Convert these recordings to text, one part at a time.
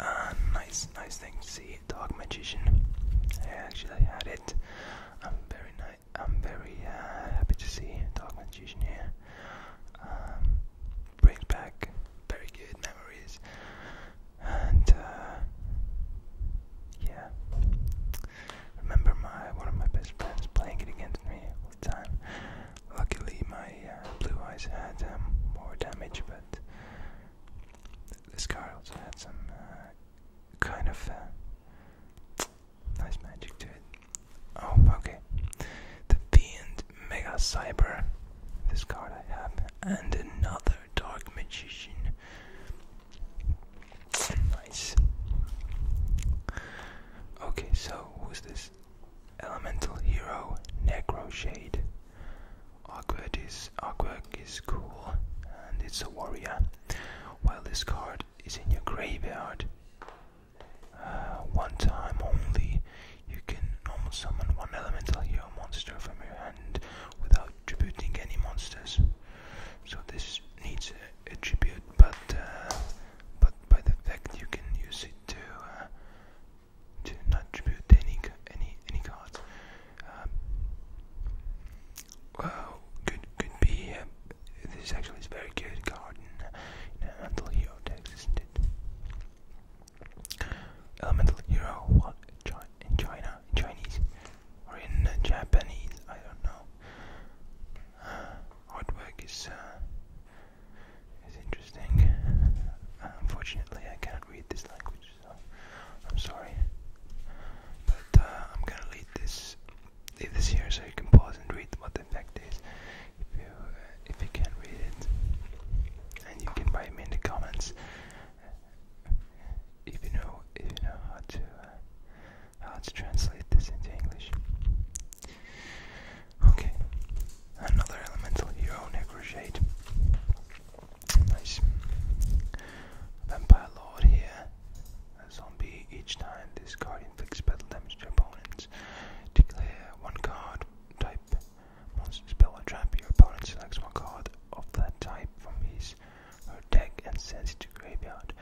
Uh, nice, nice thing to see, Dark Magician. I actually had it. I'm very I'm very uh, happy to see Dark Magician here. Um, brings back very good memories, and uh, yeah, remember my one of my best friends playing it against me all the time. Luckily, my blue eyes had um, more damage, but this card also had some uh, kind of uh, nice magic to it. Oh, okay. The Fiend Mega Cyber. This card I have. And another Dark Magician. Nice. Okay, so who's this? Elemental Hero Necroshade. Awkward is Artwork is cool and it's a warrior. While this card is in your graveyard, uh, one time only, you can normal summon one elemental hero monster from your hand without tributing any monsters. So this needs a, tribute, but uh, but by the fact you can use it too. Uh, to not tribute any any any cards. Um, well, could could be. this actually is very good card Elemental Hero isn't it? Elemental Hero, what in China, Chinese, or in Japanese? I don't know. Uh, artwork is. Uh, is interesting. Uh, unfortunately, I can't read this language, so I'm sorry. But uh, I'm gonna leave this, leave this here so you can pause and read what the fact is, if you uh, if you can read it. And you can write me in the comments if you know if you know how to how to translate this into English. Okay, Another elemental hero, Necroshade. Nice. Vampire Lord here. A zombie. Each time this card inflicts battle damage to opponents. Declare one card type monster spell or trap. Your opponent selects one card of that type from his her deck and sends it to graveyard.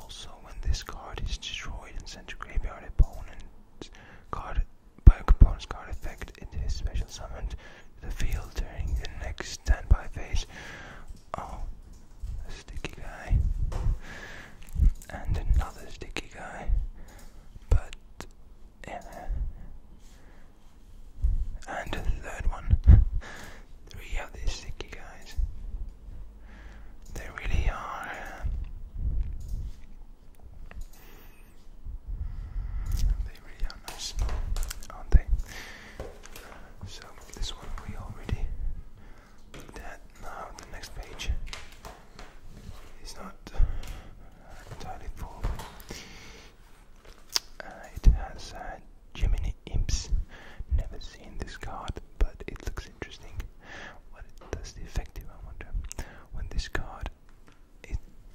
Also, when this card is destroyed and sent to graveyard, opponent's card Pokemon's card effect into his special summoned the field during the next standby phase. Oh, a sticky guy. And another sticky guy. But, yeah. And a third one. Three of these sticky guys. They really are. Um, they really nice, aren't they? So this one we already looked Now the next page is not uh, entirely full. Uh, it has uh, Gemini Imps. Never seen this card, but it looks interesting. What does the effect do? I wonder. When this card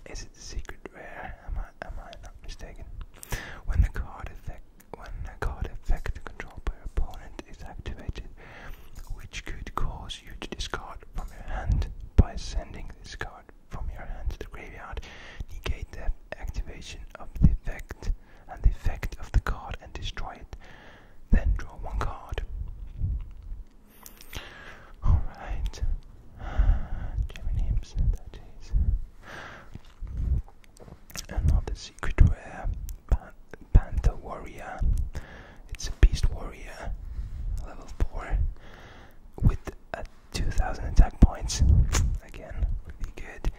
is, it a secret rare? Am I am I not mistaken? When the card effect when a card effect controlled by your opponent is activated, which could cause you to discard from your hand by sending this card from your hand to the graveyard, negate the activation of the effect and the effect of the card and destroy it. Then draw one card. Alright. Gemini Ibsen, that is. Another uh, uh, secret rare Panther Warrior. It's a Beast Warrior, level 4, with 2000 attack points. Again, really good.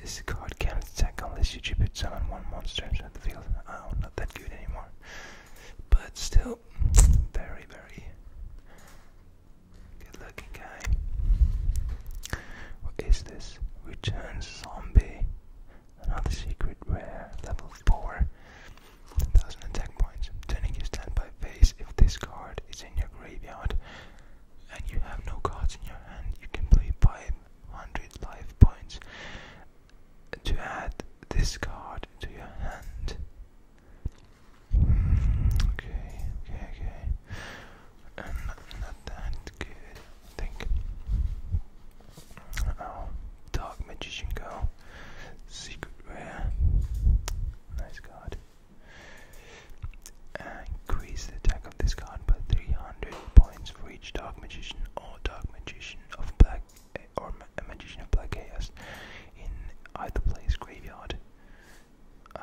This card can't attack unless you tribute summon one monster inside the field. Oh, not that good anymore. But still, go. Very, very good looking guy. What is this? Return zombie. Another secret rare. Level 4. 1000 attack points. Turning your standby face. if this card is in your graveyard and you have no cards in your hand, you can play 500 life points to add this card to your hand. okay, okay, okay. not, that good, I think. Oh, Dark Magician Girl. Secret Rare. Nice card. increase the attack of this card by 300 points for each Dark Magician or Dark Magician of Black or a magician of black chaos in either place graveyard. Uh,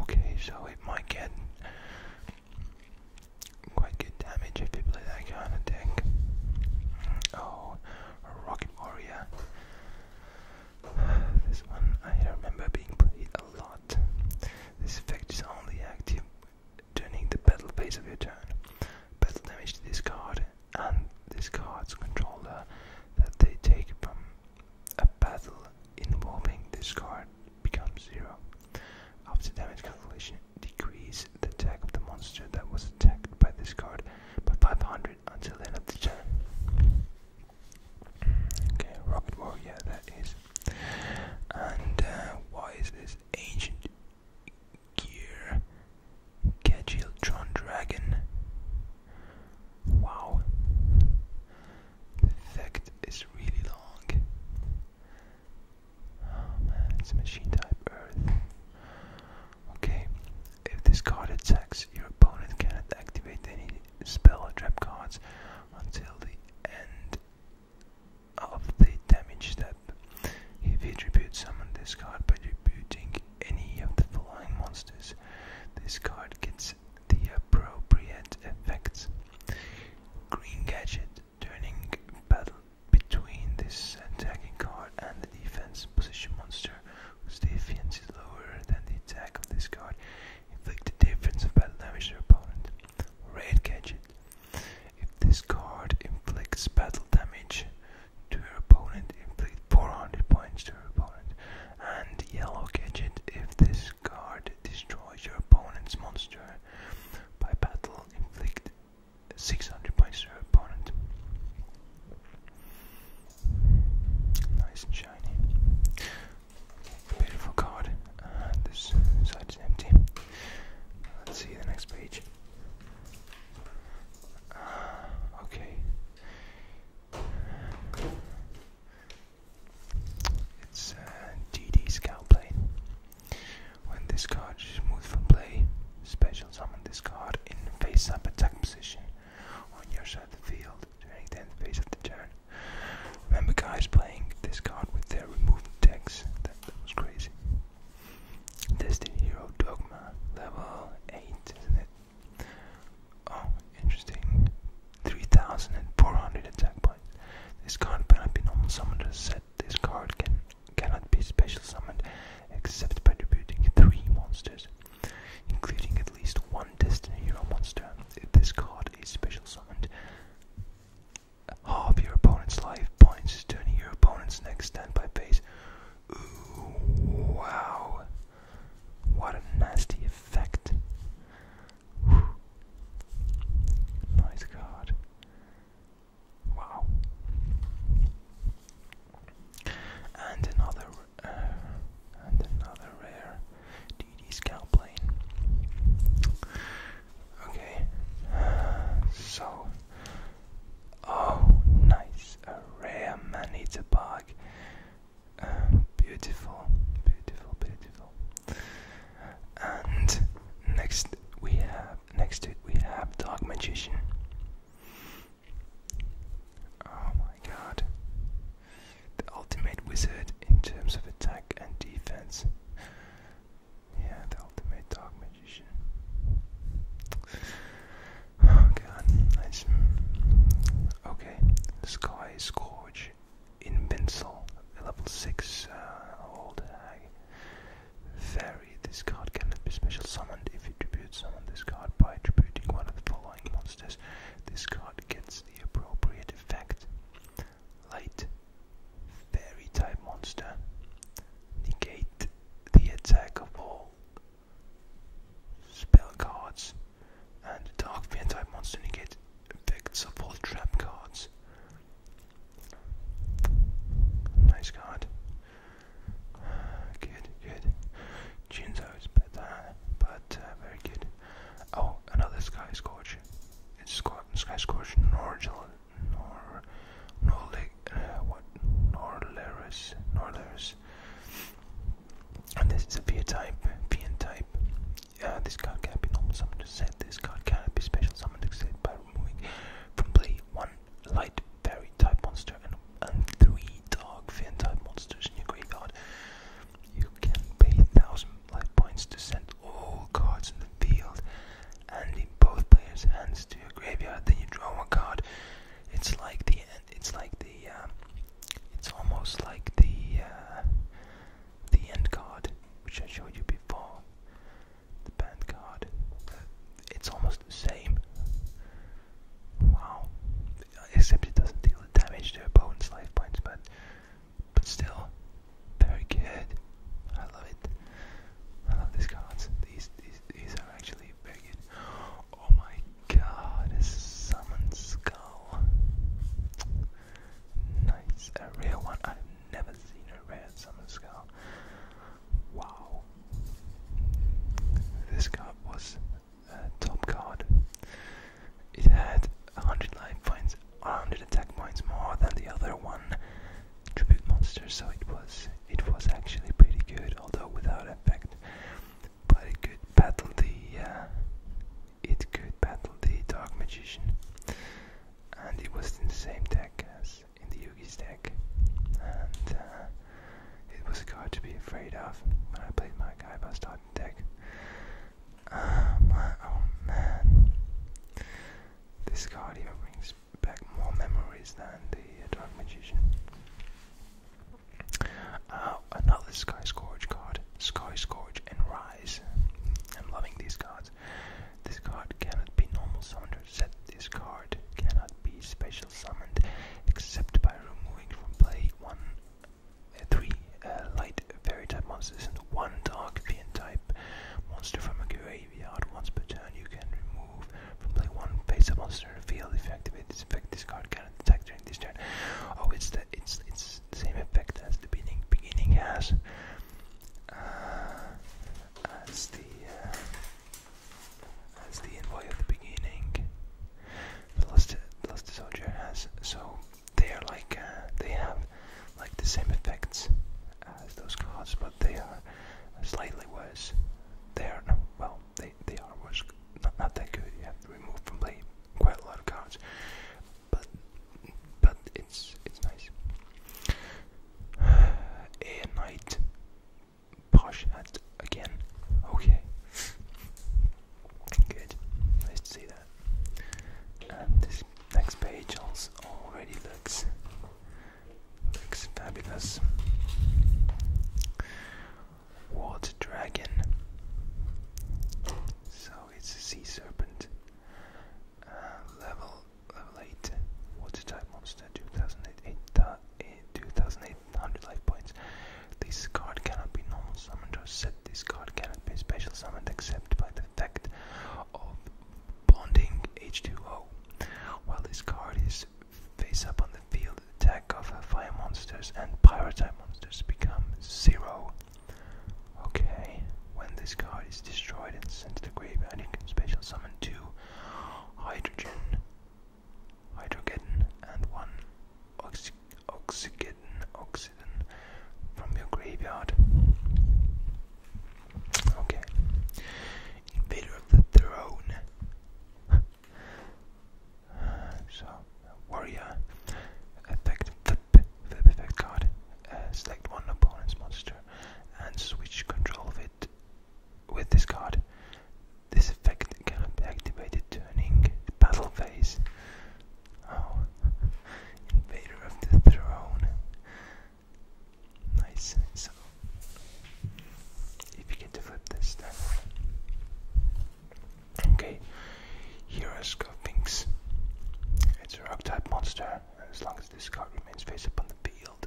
okay, so it might get quite good damage if you play that kind of deck. Oh, rocket warrior. This one I remember being played a lot. This effect is only active during the battle phase of your turn. Battle damage to this card and this card's controller that they take from a battle involving this card becomes zero. After damage calculation, decreases the attack of the monster that was attacked by this card by 500 until the end of the turn. Okay, Rocket War, yeah, that is. And uh, why is this ancient Gear, Kegiltron Dragon. Wow, the really long. Oh man, it's machine type Earth. Okay, if this card your opponent cannot activate any spell or trap cards until the end of the damage step. If you tribute summon this card by tributing any of the following monsters, this card gets the appropriate effects. Green Gadget, turning battle between this attacking card and the defense position monster, whose defense is lower than the attack of this card, inflict the difference of battle damage to your opponent. Red Gadget, if this card inflicts battle damage, to her opponent, inflict 400 points to her opponent, and yellow gadget if this card destroys your opponent's monster by battle, inflict 600 points to your opponent. Nice and shiny. Beautiful card. this side is empty. Let's see the next page. okay. It's a uh, DD Scout play. When this card is moved from play, special summon this card in face up attack position on your side of the field during the end phase of the turn. Remember, guys, playing this card with their removal decks? that was crazy. Destiny Hero Dogma, level 8, isn't it? Oh, interesting. 3,400 attack points. This card cannot be normal summoned This card can cannot be special summoned except by debuting three monsters, including at least one Destiny Hero monster. If this card is special summoned, half your opponent's life points during your opponent's next standby phase wow. What a nasty effect. Nice card. Wow. And another uh, and another rare DD scout plane. Okay. So, oh, nice a rare man-eater bug. Um, beautiful, beautiful, beautiful. And next we have next we have Dark Magician. Oh my god. The ultimate wizard in terms of attack and defense. Yeah, the ultimate dark magician. Oh god, nice. Okay, Sky Scourge, Invincible, level 6, uh, old Fairy, this card cannot be special summoned if you tribute summon this card by tributing one of the following monsters. This card gets the appropriate effect. Light, fairy type monster. Negate the attack of all spell cards, and Dark Fear type monster negate effects of all trap cards. Nice card. Good, good. Jinzo is better, but uh, very good. Oh, another Sky Scorch. It's Sky Scorch Norgel, Nor, Norle uh, what Norlerus, Norlerus, and this is a V type, VN type. Uh, this card can be normal summoned to set. This card can be special summoned to set by removing from play one light fairy type monster and, and three dark fin type monsters in your graveyard. You can pay thousand light points to send all cards in the field and in both players' hands to your graveyard. Then you draw one card it's like the It's like the. Um, it's almost like the uh, the end card, which I showed you before. The band card. It's almost the same. Wow. Except it doesn't deal damage to opponent's life points, but but still very good. I love it. I love these cards. these these are actually Oh my god, a summon skull. Nice, a rare one. I've never seen a rare summon skull. Wow. This card was a uh, top card. It had 100 life points, 100 attack points more than the other one, tribute monster, so it was it was actually pretty good, although without effect. But it could battle the uh, it could battle the dark magician, and it was in the same deck as in the Yugi's deck, and uh, it was card to be afraid of when I played my Kaiba starting deck. Um, oh man, this card even brings back more memories than the Dark Magician. Uh, another Sky Scourge card, Sky Scourge and Rise. I'm loving these cards. This card cannot be normal summoned set. This card cannot be special summoned except by removing from play one, uh, three uh, light fairy type monsters and one dark fiend type monster from a grave. Once per turn, you can remove from play one face-up monster in field. If you activate this effect, this card can attack during this turn. Oh, it's the it's it's same effect as the beginning beginning has. Uh, as the uh, as the envoy of the beginning, the lost lost soldier has. So they are like uh, they have like the same effects as those cards, but they are slightly worse. They are no, well, they, they are worse, not, not that good. You have to remove from play quite a lot of cards, but but it's it's nice. A knight, posh hat again. Okay, good. Nice to see that. And this next page also already looks Looks fabulous. Water dragon. So it's a sea serpent. Uh, level level Water type monster. 2008, uh, 2,800 life points. This card cannot be normal summoned or set. This card cannot be special summoned except by the effect of bonding H2O. While this card is face up on the field attack of fire monsters and pirate pyrotype monsters become zero. Okay, when this card is destroyed and sent to the graveyard, you can special summon two hydrogen, hydrogen, and one oxy oxygen, oxygen from your graveyard. Okay, invader of the throne. so, warrior, effect, flip, flip effect card, uh, select one opponent's monster and switch control of it with this card. This effect cannot be activated during battle phase. Oh, Invader of the Throne. Nice. So, if you get to flip this, then. Okay, here It's a rock type monster, as long as this card remains face up on the field,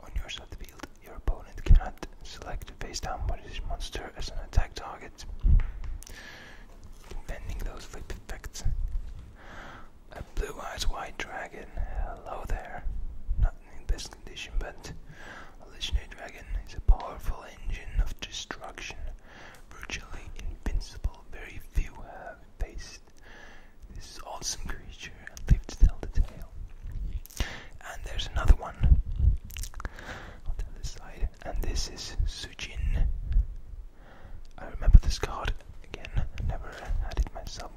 on your side of the field, your opponent cannot select a face down monster as an attack target. Defending those flip effects. A blue eyes white dragon. Hello there in best condition, but Legendary Dragon is a powerful engine of destruction, virtually invincible. Very few have faced this awesome creature and lived to tell the tale. And there's another one on the other side, and this is Sujin. I remember this card again, never had it myself,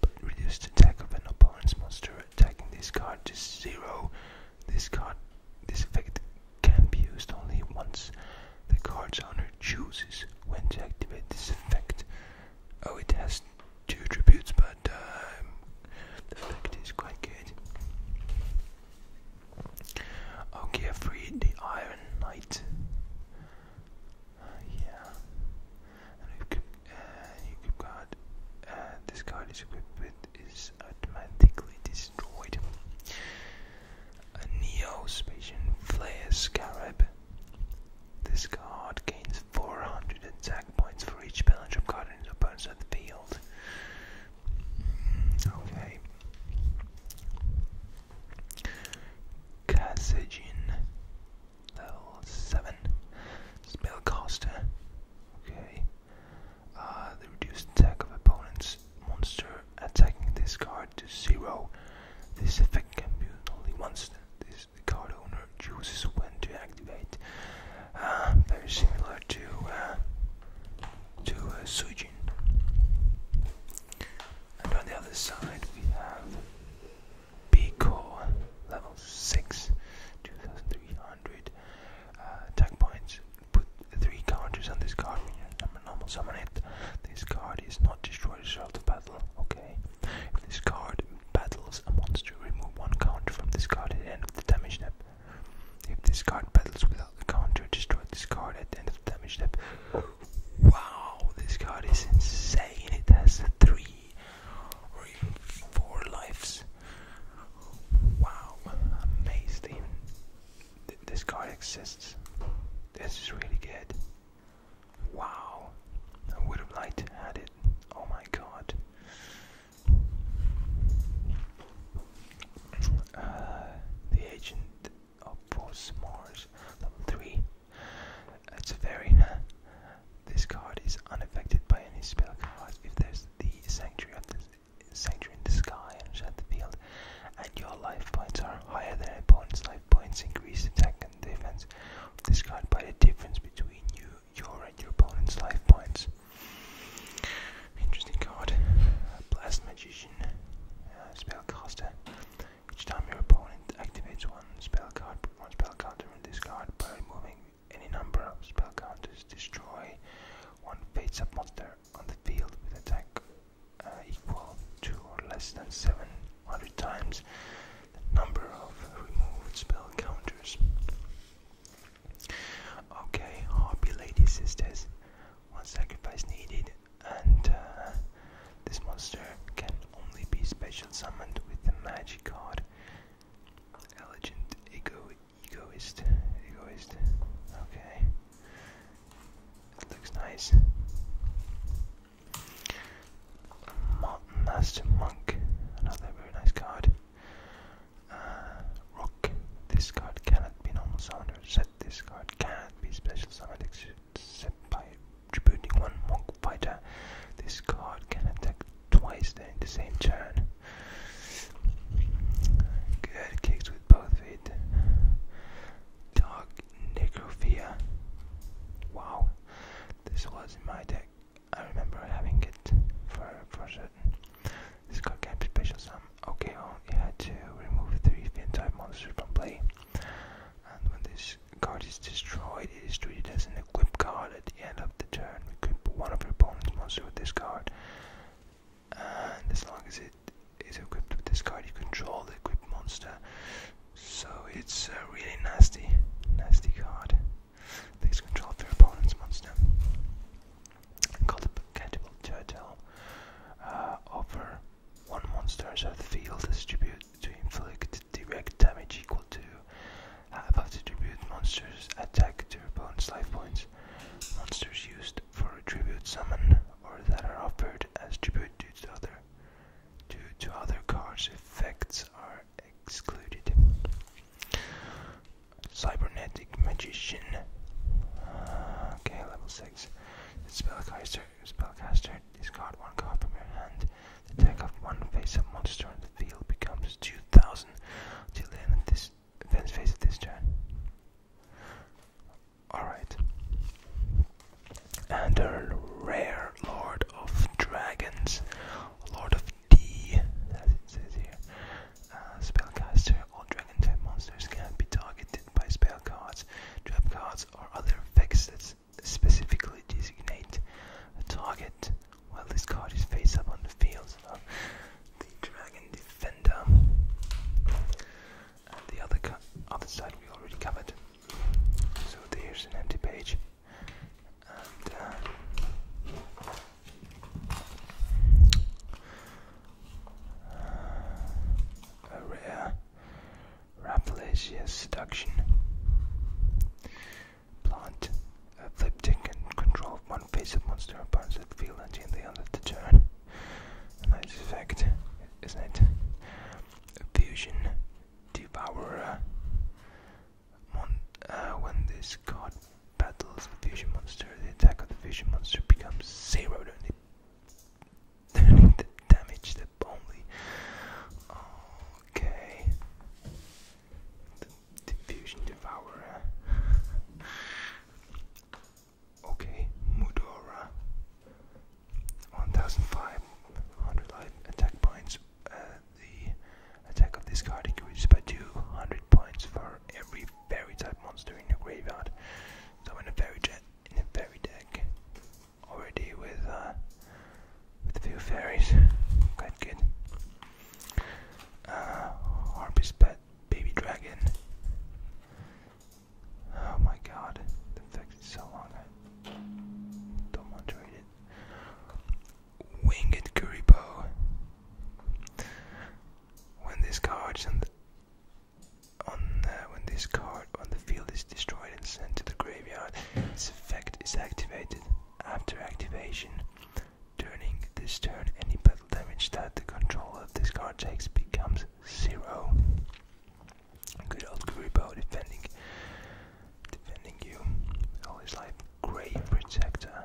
but reduce the attack of an opponent's monster attacking this card to zero. This card, this effect can be used only once. The card's owner chooses when to activate this effect. Oh, it has two attributes, but um, the effect is quite good. Okay, I freed the Iron Knight yeah. And you uh, uh, this card is equipped with is automatically destroyed. A Neo Spacian Flare Scarab. This card gains 400 attack points for each Bellinger card in the opponent's at the field. Mm, okay. Kazajan Level 7. Spellcaster. Okay. Uh, the reduced attack of opponent's monster attacking this card to 0. This effect can be used only once. This the card owner chooses when to activate. Uh, very similar to uh, to uh, And on the other side we have be cool. Level 6, 2,300 uh, attack points. Put 3 counters on this card normal summon it. This card is not destroyed as a battle, okay? If this card battles and wants to remove 1 counter from this card at the end of the damage step. If this card battles without a counter, destroy this card at the end of the damage step. Wow, this card is insane. It has three or even four lives. Wow, amazing. Th this card exists. This is really good. Wow, I would have liked to had it. Oh my god. Uh, the agent of Mars, level 3. That's very. this card is unaffected by any spell cards if there's the Sanctuary of the Sanctuary in the sky and shut the field, and your life points are higher than your opponent's life points. Increase attack and defense of this card by the difference between you, your, and your opponent's life points. Interesting card. Blast Magician, uh, Spellcaster. Each time your opponent activates one spell card one spell counter from this by removing any number of spell counters. Destroy one fate sub monster on the field with attack uh, equal to or less than 700 times the number of removed spell counters. Okay, Hobby Lady Sisters. One sacrifice needed, and uh, this monster can only be special creation summoned with the magic card. Elegant ego egoist. Egoist. Okay. looks nice. Mon Master Monk. Another very nice card. Uh, This card cannot be normal summoned set. This card cannot be special summoned except by tributing one monk fighter. This card can attack twice during the same turn. Good kicks with both feet. Dark Necrophia. Wow, this was in my deck. I remember having it for for certain. This card can be special summon. Okay, oh, I only had to remove three fin type monsters from play. And when this card is destroyed, it is treated as an equipped card at the end of the turn. can put one of your opponent's monster with this card. And as long as it is equipped with this card, you control the equipped monster. So it's a really nasty, nasty card. Takes control of your opponent's monster. Called the Cantable Turtle. Uh, over one monsters out the field, distributed to inflict direct damage equal to half uh, of the tribute monster's attack to opponent's life points. Monsters used for a tribute summon or that are offered as tribute due to other due to other cards effects are excluded. Cybernetic magician. Uh, okay, level six. Spellcaster. Spellcaster. Discard one card from your hand the tag of one face-up monster on the field becomes 2,000 until end of this event's phase of this turn. Alright. And rare Lord of Dragons, Lord of D, as it says here. Uh, spellcaster, all dragon type monsters can be targeted by spell cards, trap cards, or other effects cards specifically designate a target while this card is face up on the field. So the Dragon Defender. And the other, other side we already covered. So there's an empty page. Uh, uh, a rare Rapalacious Seduction plant uh, Fliptic control one face of monster opponents that feel and in the end of the turn. A nice effect, isn't it? Fusion Devourer. Mon uh, when this card battles the fusion monster, the attack of the fusion monster becomes zero, and the damage that relationship Okay. diffusion devourer. okay, Mudora. 1,500 attack points. Uh, the attack of this card increases by 200 points for every fairy type monster in your graveyard. So in a fairy deck, already with uh, with a few fairies. Quite good. Harpy's uh, pet baby dragon. Oh my god, the fact so long. don't want to read it. Winged Kuribo. When this card's on on when this card on the field is destroyed and sent to the graveyard. Its effect is activated after activation. During this turn, any battle damage that the controller of this card takes becomes zero. Good old Kuribo defending, defending you all his Grave Protector.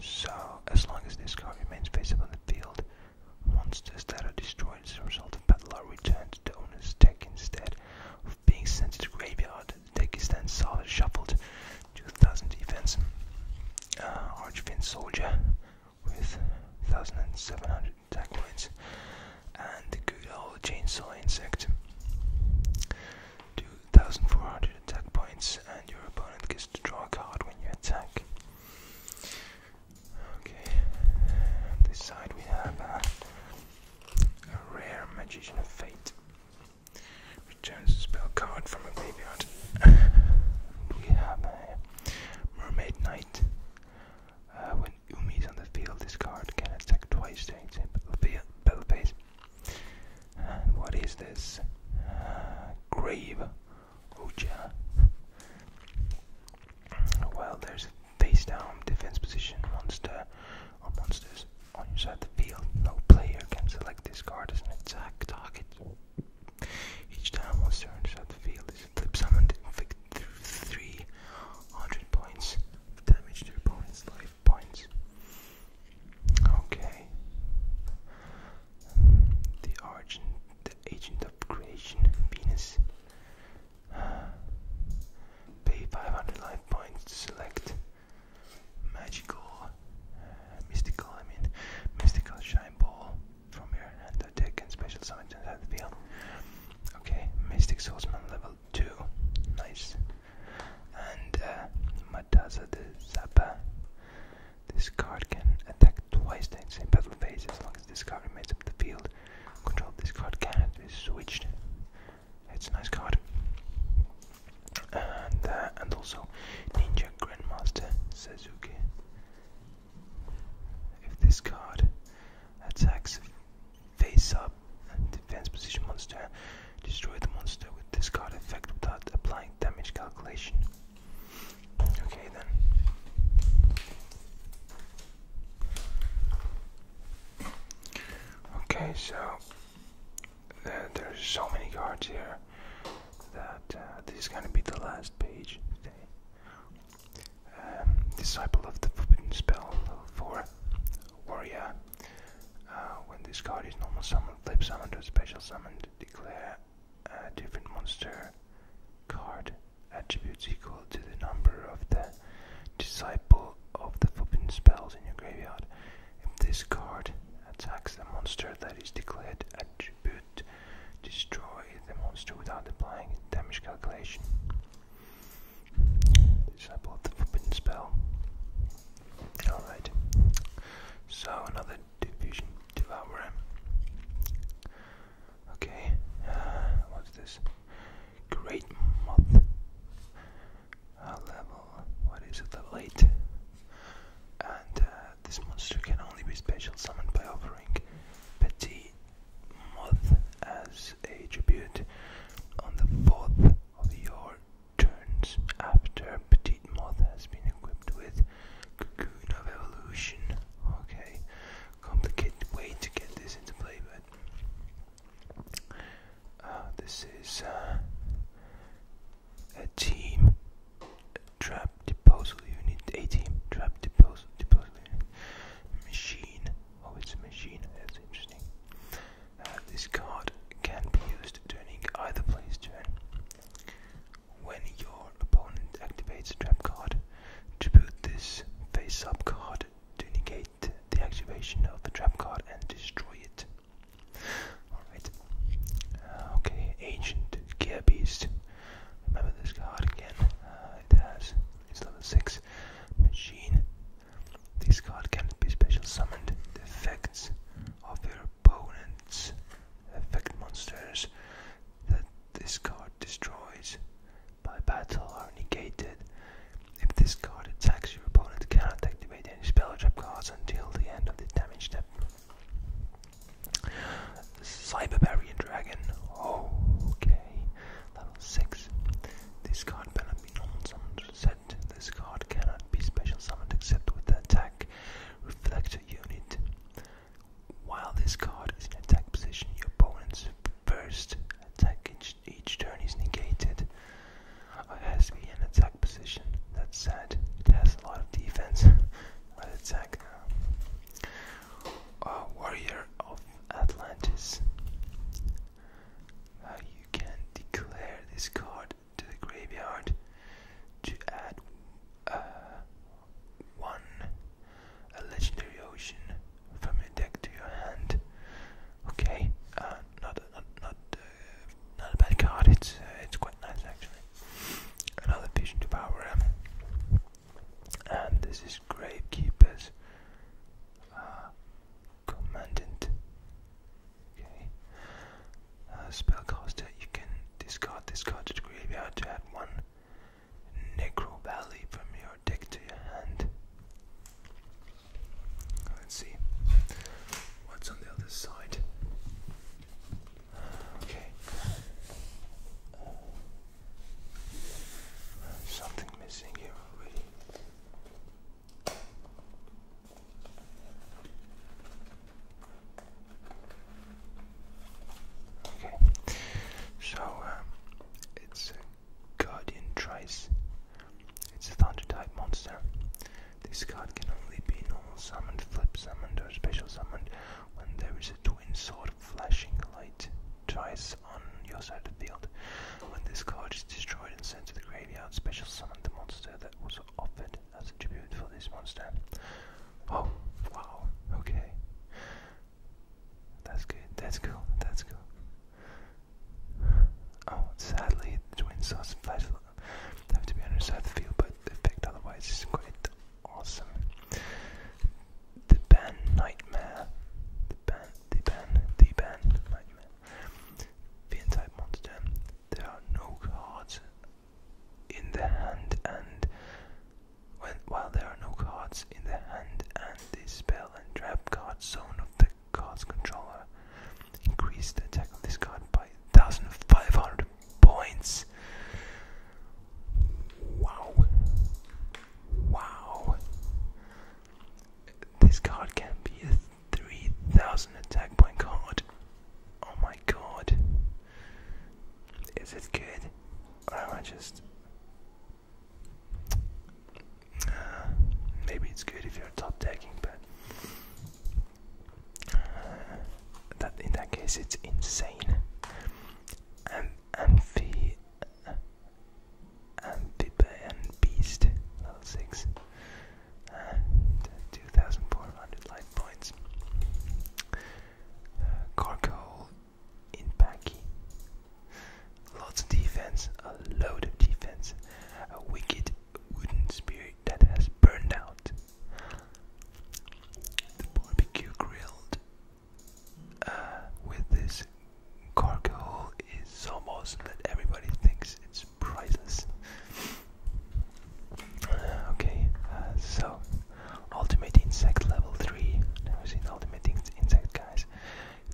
So, as long as this card remains face up on the field, monsters that are destroyed as a result of battle are returned to the owner's deck instead being sent to the graveyard. Dagestan Tsar shuffled 2000 defense. Uh, Archfin Soldier with 1700 attack points. And the good old Chainsaw Insect. 2400 attack points, and your opponent gets to draw a card when you attack. Okay, this side we have. Uh, a rare magician of fate. Returns a spell card from a graveyard. we have a mermaid knight. Uh, when Umi is on the field, this card can attack twice during the battle phase. And what is this? Uh, grave Uja. Oh, well, there's face down defense position monster or monsters on your side of the field. No player can select this card as an attack target. Each time monster on your side of the field is flip summoned, inflict 300 points of damage to your opponent's life points. Okay. The Argent, the Agent of Creation, Venus. Pay 500 points to select magical, uh, mystical, I mean, mystical shine ball from your hand to deck and special summon inside the field. Okay, Mystic Swordsman level 2. Nice. And uh, Mataza de Zappa. This card can attack twice the same battle phase as long as this card remains up the field. Control this card cannot be switched. It's a nice card. And uh, and also Ninja Grandmaster Suzuki. If this card attacks face up and defense position monster, destroy the monster with this card effect without applying damage calculation. Okay then. Okay, so there's so many cards here that uh, this is gonna be the last page today. Um, Disciple of the Forbidden Spell, for Warrior. Uh, when this card is normal Summon, flip summon to special summon to declare a uh, different monster card attributes equal to the number of the disciple of the forbidden spells in your graveyard. If this card attacks a monster that is declared attribute, destroy the monster without applying damage calculation. Disciple of the forbidden spell. Alright. So another diffusion Okay. Uh, what's this? Great Moth. level, what is it, level 8. And uh, this monster can only be special summoned by offering Petite Moth as a tribute on the 4th of your turns after Petite Moth has been equipped with Cocoon of Evolution. Okay, complicated way to get this into play, but uh, this is uh, a team trap disposal unit, a team trap disposal, machine. Oh, it's a machine, that's interesting. Uh, this card can be used during either player's turn. When your opponent activates a trap card, to put this face up card to negate the activation of the trap card and destroy it. Alright. Uh, okay, Ancient Gear Beast. Remember this card again. Uh, it has, it's level 6, Machine. This card can be special summoned. The effects of your opponent's effect monsters that this card destroys by battle are negated. If this card attacks, your opponent cannot activate any spell or trap cards until the end of the damage step. Cyberbarian Dragon. Oh, okay. Level 6. This card cannot be summoned This card cannot be special summoned except with the attack reflector unit. While this card is in attack position, your opponent's first attack each, turn he's negated. It has to be in attack position. That's sad. It has a lot of defense, attack. Uh, warrior of Atlantis. you can declare this card to the graveyard to add uh, one a legendary ocean from your deck to your hand. Okay, uh, not not not uh, not a bad card. It's uh, it's quite nice actually. Another vision to power and this is Gravekeeper's Commandant. Okay, spellcaster. You can discard this card to graveyard to add one Necro Valley from your dick to your hand. Let's see what's on the other side. Okay. something missing here already. Okay, so um, it's Guardian Trice. It's a thunder type monster. This card can only be normal summoned, flip summoned, or special summoned when there is a twin sword flashing light twice on your side of the field. When this card is destroyed and sent to the graveyard, special summon the monster that was offered as a tribute for this monster. Oh, wow, okay. That's good. That's cool. That's cool. Oh, sadly, the twin sauce flies have to be on the side of the field, but the effect otherwise is quite awesome. The band Nightmare. The band, the band, the band Nightmare. The entire monster. There are no cards in the hand, and when, while there are no cards in the hand, and this spell and trap card zone of the card's controller. Increase the attack of this card by 1500 points. Wow. Wow. This card can be a 3000 attack point card. Oh my god. Is it good? Or am I just uh, maybe it's good if you're top decking, but uh, that in that case it's insane. Am amphi uh, amphibian beast level six. 2,400 life points. Uh, in Banky. Lots of defense, a load of defense, a wicked wooden spear that has burned out. The barbecue grilled uh, with this carcass is almost that everybody thinks it's priceless. Uh, okay, uh, so ultimate insect level 3. Never seen ultimate insect, guys.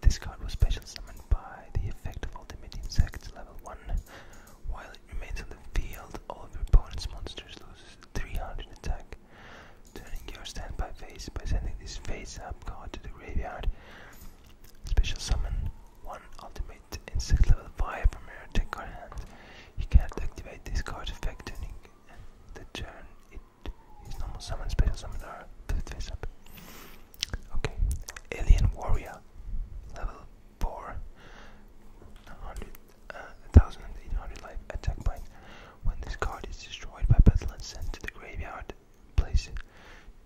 This card was special summoned by the effect of Ultimate Insect level 1. While it remains on the field, all of your opponent's monsters lose 300 attack. Turning your standby phase by sending this phase up card to the graveyard. Special summon 1 Ultimate Insect level 5 from your deck card hand. You can't activate this card's effect during the turn it his normal summon, special summon are fifth face Okay, Alien Warrior, level 4, 1800 uh, life attack point. When this card is destroyed by battle and sent to the graveyard, place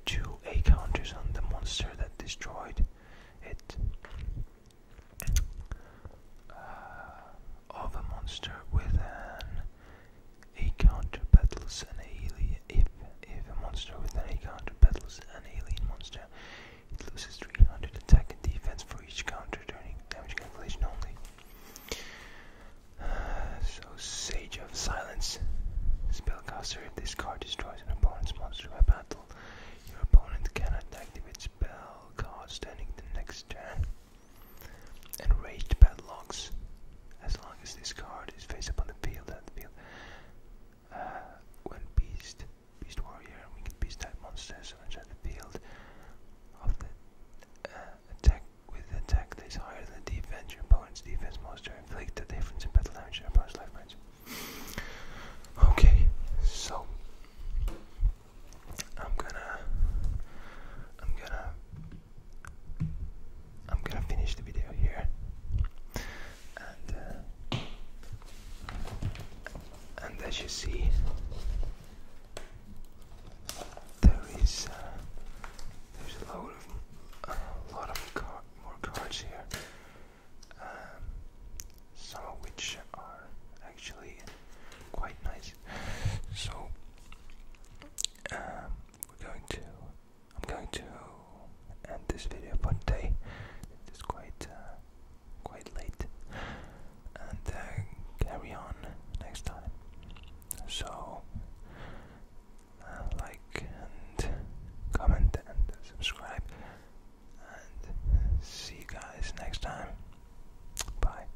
two A counters on the monster that destroyed it. Uh, of a monster with a counter battles an alien. If, if a monster with an A counter battles an alien monster, it loses 300 attack and defense for each counter during damage calculation only. Uh, so, Sage of Silence. Spellcaster, if this card destroys an opponent's monster by battle, your opponent cannot activate spell cards during the next turn. Enraged padlocks. As long as this card is face up on the field, and field. Uh, Beast, Beast Warrior, and Winged Beast type monsters are inside the field of the uh, attack with the attack that is higher than the defense, your opponent's defense monster inflict the difference in battle damage and opponent's life points. Okay, so I'm gonna I'm gonna I'm gonna finish the video here, and uh, as you see, there is uh, there's a lot of lot of more cards here, um, some of which are actually quite nice. So. Um, we're going to, I'm going to end this video for today. It is quite, uh, quite late, and uh, carry on next time. So, uh, like and comment and subscribe, and see you guys next time. Bye.